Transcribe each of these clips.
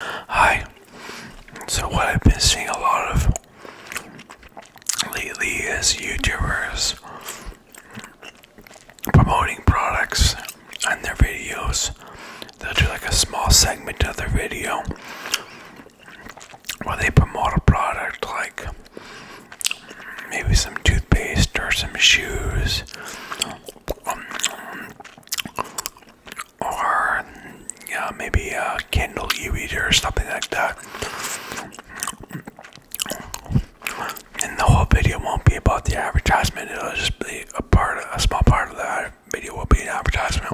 Hi. So what I've been seeing a lot of lately is YouTubers promoting products on their videos. They'll do like a small segment of their video where they promote a product like maybe some toothpaste or some shoes. Um, or uh, maybe a Kindle e-reader or something like that. And the whole video won't be about the advertisement. It'll just be a part, a small part of that video will be an advertisement.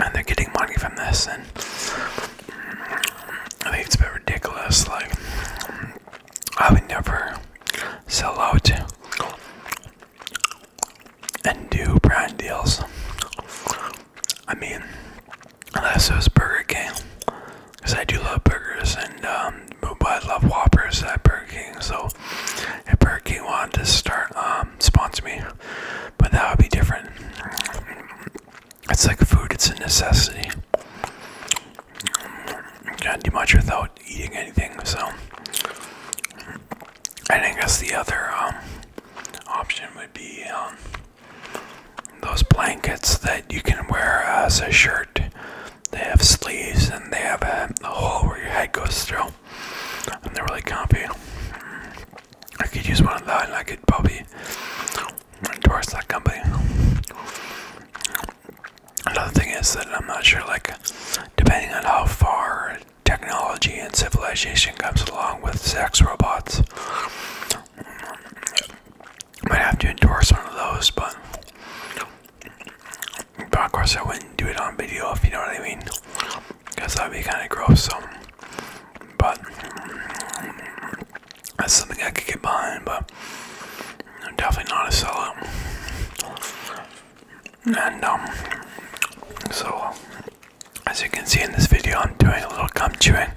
And they're getting money from this, and I think it's a bit ridiculous. Like, I would never sell out and do brand deals. I mean, unless it was Burger King, because I do love burgers and um, but I love Whoppers at Burger King. So if Burger King wanted to start um, sponsor me, but that would be different. It's like food; it's a necessity. Can't do much without eating anything, so and I guess the other um, option would be um, those blankets that you can wear as a shirt. They have sleeves and they have a, hole where your head goes through, and they're really comfy. I could use one of those, and I could probably endorse that company. Another thing is that I'm not sure, like, depending on how far technology and civilization comes along with sex robots, I might have to endorse one of those, but, but of course I wouldn't do it on video if you know what I mean, because that'd be kind of gross. So, but that's something I could get behind, but I'm definitely not a sellout and um, so as you can see in this video I'm doing a little gum chewing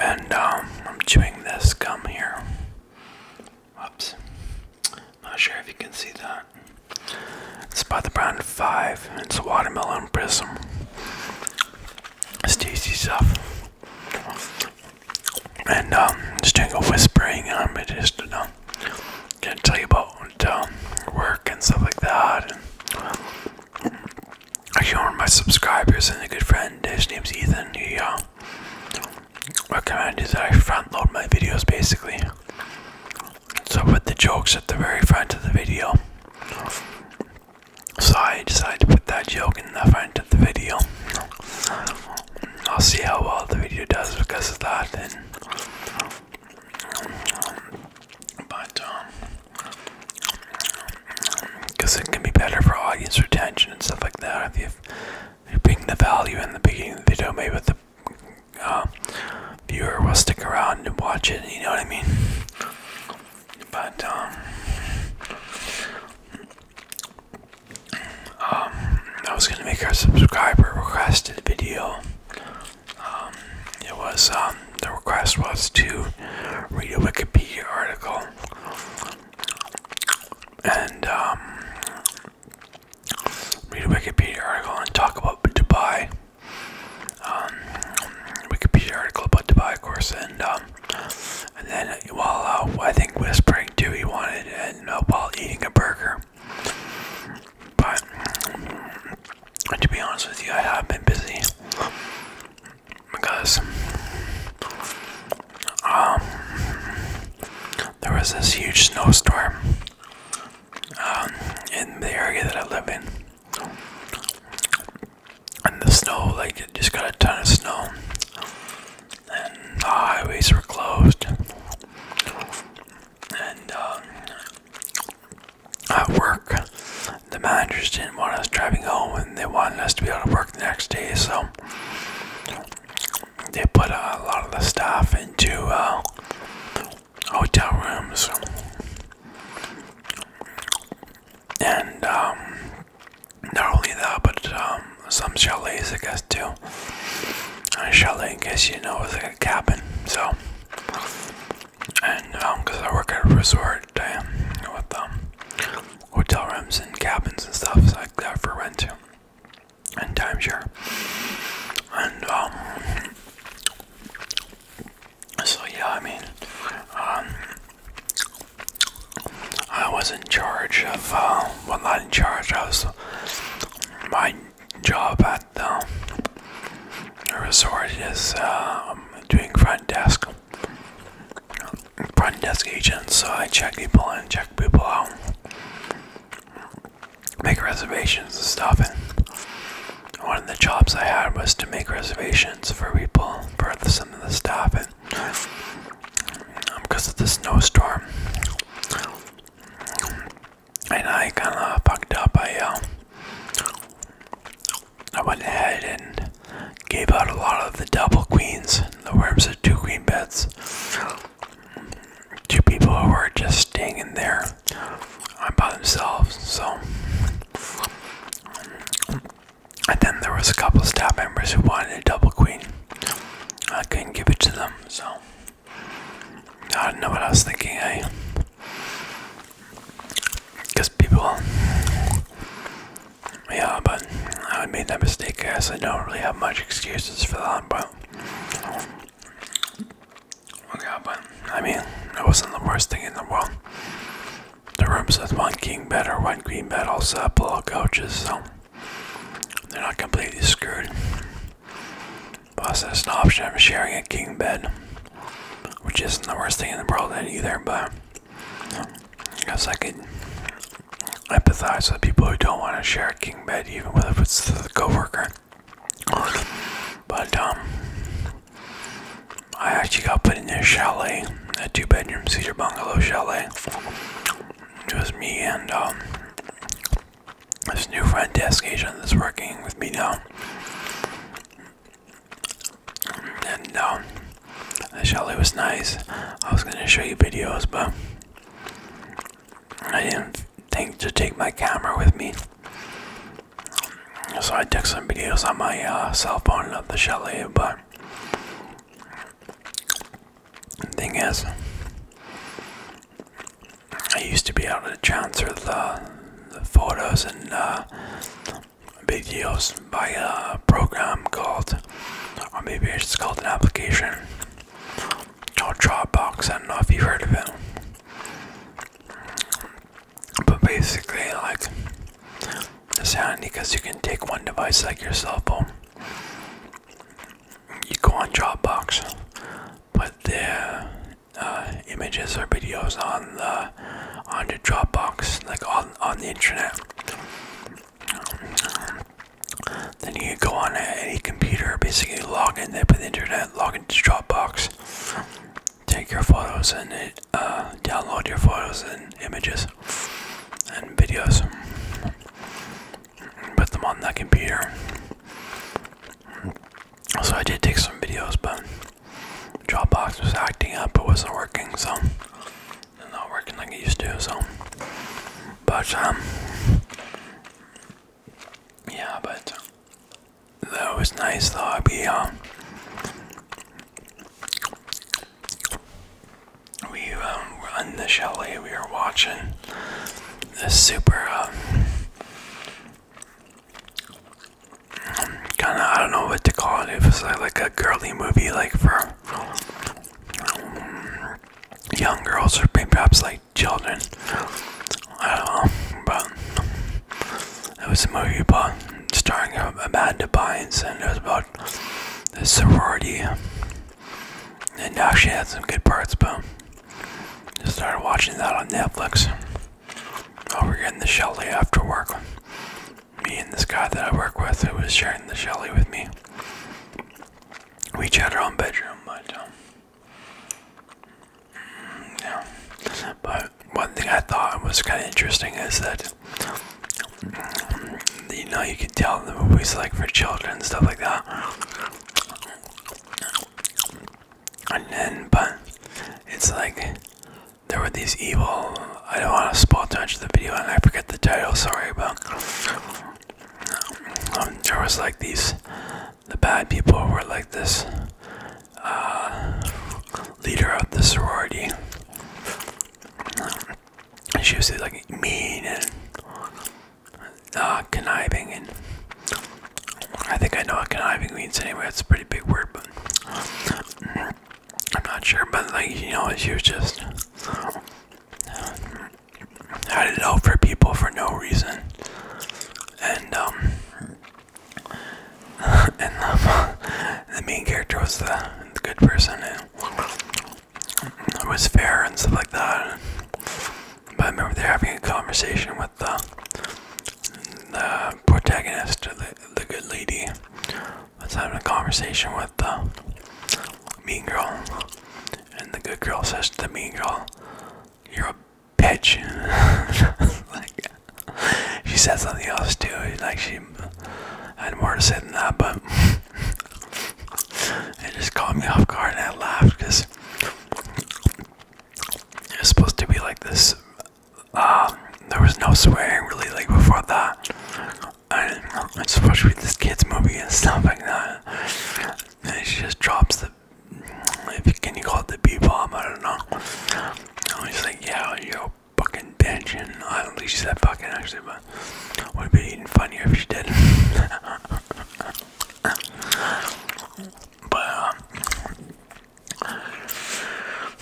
and um, I'm chewing this gum here Oops. Not sure if you can see that. It's about the brand 5. It's a watermelon prism. It's tasty stuff. And um just doing a whispering um it just um gonna tell you about um, work and stuff like that. And actually, one of my subscribers and a good friend, his name's Ethan. He uh, recommended that I front load my videos basically. So I put the jokes at the very front of the video. So I decided to put that joke in the front of the video. I'll see how well the video does because of that. And but because um, it can be better for audience retention and stuff like that if you bring the value in the beginning of the video, maybe the uh, viewer will stick around and watch it. You know what I mean? But um, um, I was gonna make a subscriber requested video. Um, it was um, the request was to read a Wikipedia article, and read a Wikipedia article and talk about Dubai. Wikipedia article about Dubai, of course, and and then while uh, I think whispering too, he wanted and uh, while eating a burger. But to be honest with you, I have been busy because um, there was this huge snowstorm um, in the area that I live in, and the snow like it just got a ton of snow, and the highways were closed. And um, at work, the managers didn't want us driving home, and they wanted us to be able to work the next day. So they put a lot of the staff into uh, hotel rooms, and um, not only that, but um, some chalets, I guess, too. And a chalet, in case you know, is a cabin. So, and um, because I work at a resort uh, with um, hotel rooms and cabins and stuff like so that for rent too, and timeshare. And um, so yeah, I mean, um, I was in charge of uh, well, not in charge. I was my job at the resort is um, doing front desk, front desk agent. So I check people in, check people out, make reservations and stuff. And one of the jobs I had was to make reservations for people, for some of the staff, and because um, of the snowstorm. And I kind of fucked up. I uh, I went ahead and gave out a lot of the double queens. The worms are two queen beds. Two people who were just staying in there by themselves. So, and then there was a couple staff members who wanted a double queen. I couldn't give it to them, so I don't know what I was thinking, eh? Because people, yeah, but I made that mistake. I guess I don't really have much excuses for that, but yeah, but I mean, it wasn't the worst thing in the world. The rooms with one king bed or one queen bed also have pillow couches, so. They're not completely screwed. Plus, there's an option of sharing a king bed, which isn't the worst thing in the world either, but I guess I could empathize with people who don't want to share a king bed, even if it's the coworker. But um, I actually got put in a chalet, a two-bedroom cedar bungalow chalet, just me and um, this new friend desk agent that's working with me now. And um, was nice. I was gonna show you videos, but I didn't think to take my camera with me. So I took some videos on my uh, cell phone of the chalet, but thing is, I used to be able to transfer the, photos and uh, videos by a program called, or maybe it's called an application called Dropbox. I don't know if you've heard of it. But basically, like, it's handy because you can take one device like your cellphone you go on Dropbox, put the uh, images or videos on the on Dropbox, like on on the internet. Then you go on any computer, basically log in there with the internet, log into Dropbox, take your photos and uh, download your photos and images and videos put them on that computer. Also, I did take some videos, but Dropbox was acting up, it wasn't working, so not working like it used to, so but um yeah, but that was nice though. I'd be uh, we um, the chalet. We were watching this super um, kind of I don't know what to call it. It was uh, like, a girly movie, like for um, young girls or perhaps like children. I don't know, but it was a movie about starring Amanda Bynes, and it was about the sorority and uh, she had some good parts, but just started watching that on Netflix. Oh, we're getting the Shelly after work. Me and this guy that I work with who was sharing the Shelly with me. We each had our own bedroom, but um, yeah. But one thing I thought was kind of interesting is that you know you could tell the movies like for children and stuff like that and then but it's like there were these evil i don't want to spoil too much of the video and i forget the title sorry but um, there was like these the bad people were like this uh, leader of the sorority and she was like mean and uh, conniving, and I think I know what conniving means anyway. It's a pretty big word, but I'm not sure. But like you know, she was just had it out for people for no reason, and um, and um, the, main character was the, good person, it was fair and stuff like that. But I remember they're having a conversation with the, protagonist, the, the good lady. I was having a conversation with the mean girl, and the good girl says to the mean girl, "You're a bitch." like she said something else too. Like she had more to say than that, but it just caught me off guard and I laughed because it was supposed to be like this. Um, there was no swearing really like before that. And it's supposed to be this kids movie and stuff like that. And she just drops the can you call it the B bomb? I don't know. I was like, yeah, you're a fucking bitch, I don't fucking actually, would be even funnier if she did. but um,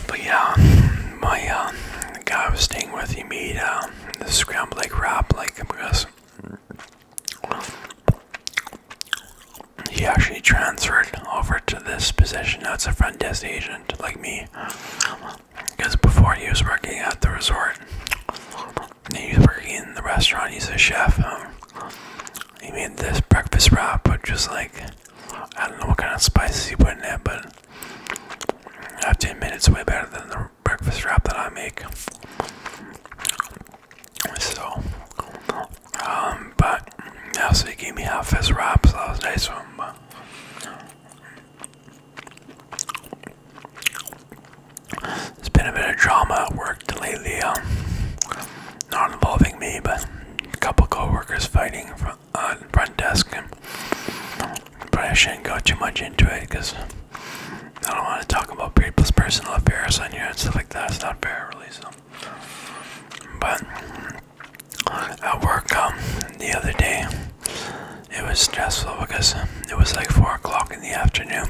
but yeah, my uh, guy I was staying with, he made uh, the scrambled egg wrap, like because he actually transferred over to this position. Now it's a front desk agent like me. Because before he was working at the resort, he was working in the restaurant. He's a chef. Um, he made this breakfast wrap, but just like I don't know what kind of spices he put in it, but I have to admit way better than the breakfast wrap that I make. So, um, but yeah, so he gave me half his wrap, so that was nice of him. But, it has been a bit of drama at work lately, um, not involving me, but a couple coworkers fighting front, uh, front desk. And, I shouldn't go too much into it because I don't want to talk about people's personal affairs on here and stuff like that. It's not fair, really. So, but at work, um, the other day, it was stressful because um, it was like four o'clock in the afternoon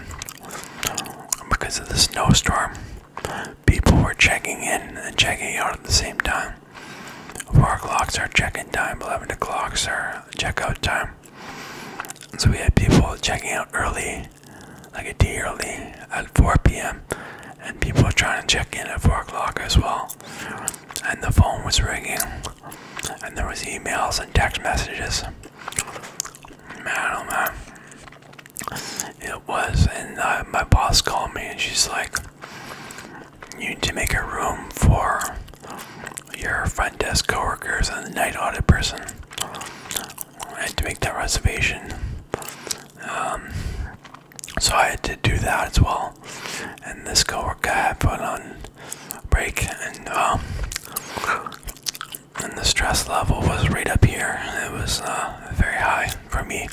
because of the snowstorm. People were checking in and checking out at the same time. Four o'clock's are check-in time. Eleven o'clock's our check-out time. So we had people checking out early, like a day early at 4 p.m., and people trying to check in at 4 o'clock as well. And the phone was ringing and there was emails and text messages. Man, oh, it was. And uh, my boss called me, and she's like, "You need to make a room for your front desk coworkers and the night audit person." I had to make that reservation. Um, so I had to do that as well and this coworker had put on break, um, and the stress level was right up here. It was uh, very high for me,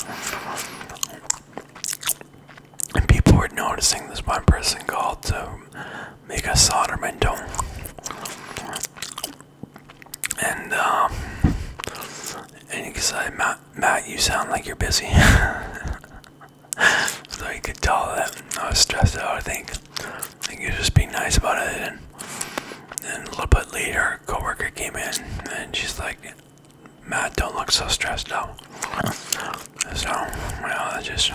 and people were noticing. This one person called to uh, make a solder mental, and um, and he said, Matt, Matt, you sound like you're busy. so you could tell that I was stressed out. I think I think you just be nice about it. And then a little bit later, a coworker came in and she's like, "Matt, don't look so stressed out." So well, I just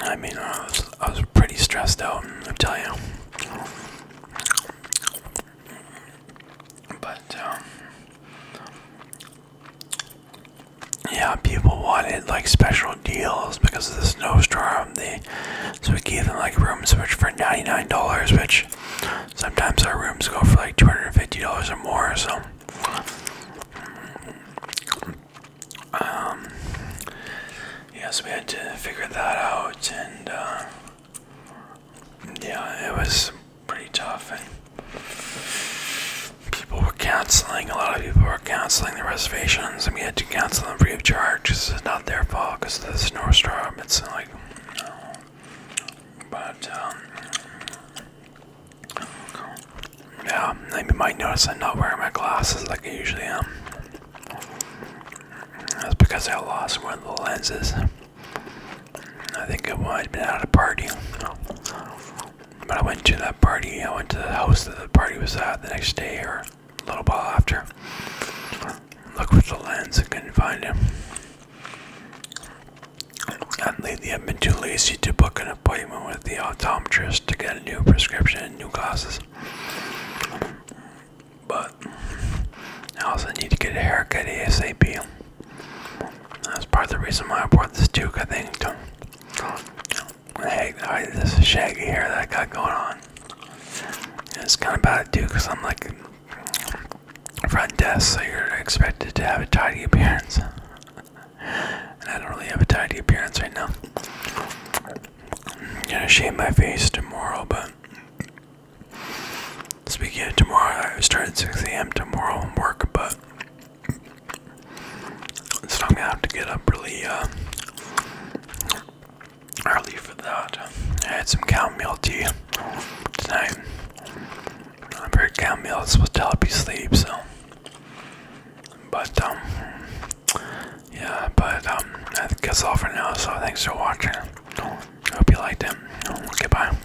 I mean I was, pretty stressed out. I tell you. But um, yeah, people wanted like special deals because of the snowstorm. so we gave them like rooms which for ninety nine dollars, which sometimes our rooms go for like two hundred and fifty dollars or more. So, um, yes, yeah, so we had to figure that out, and uh, yeah, it was pretty tough, and people were canceling. A lot of people were canceling their reservations, and we had to cancel them free of charge. This is not their fault because of the snowstorm. It's like, but um, yeah, you might notice I'm not wearing my glasses like I usually am. That's because I lost one of the lenses. I think I might have been at a party. But I went to that party, I went to the house that the party was at the next day or a little while after. Looked with the lens and couldn't find him. And lately I've been too lazy to book an appointment with the optometrist to get a new prescription and new glasses. But I also need to get a haircut ASAP. That's part of the reason why I bought this Duke, I think. Hey, I, this shaggy hair that I got going on. It's kind of bad too, because I'm like front desk, so you're expected to have a tidy appearance. And I don't really have a tidy appearance right now. I'm gonna shave my face tomorrow, but speaking of tomorrow, I start at 6 a.m. tomorrow and work, but so I'm gonna have to get up really uh, early for that. I had some chamomile tea tonight. I've heard chamomile is supposed to help you sleep, so. But, um, yeah, but, um, that's all for now, so thanks for watching. Hope you liked it. Goodbye.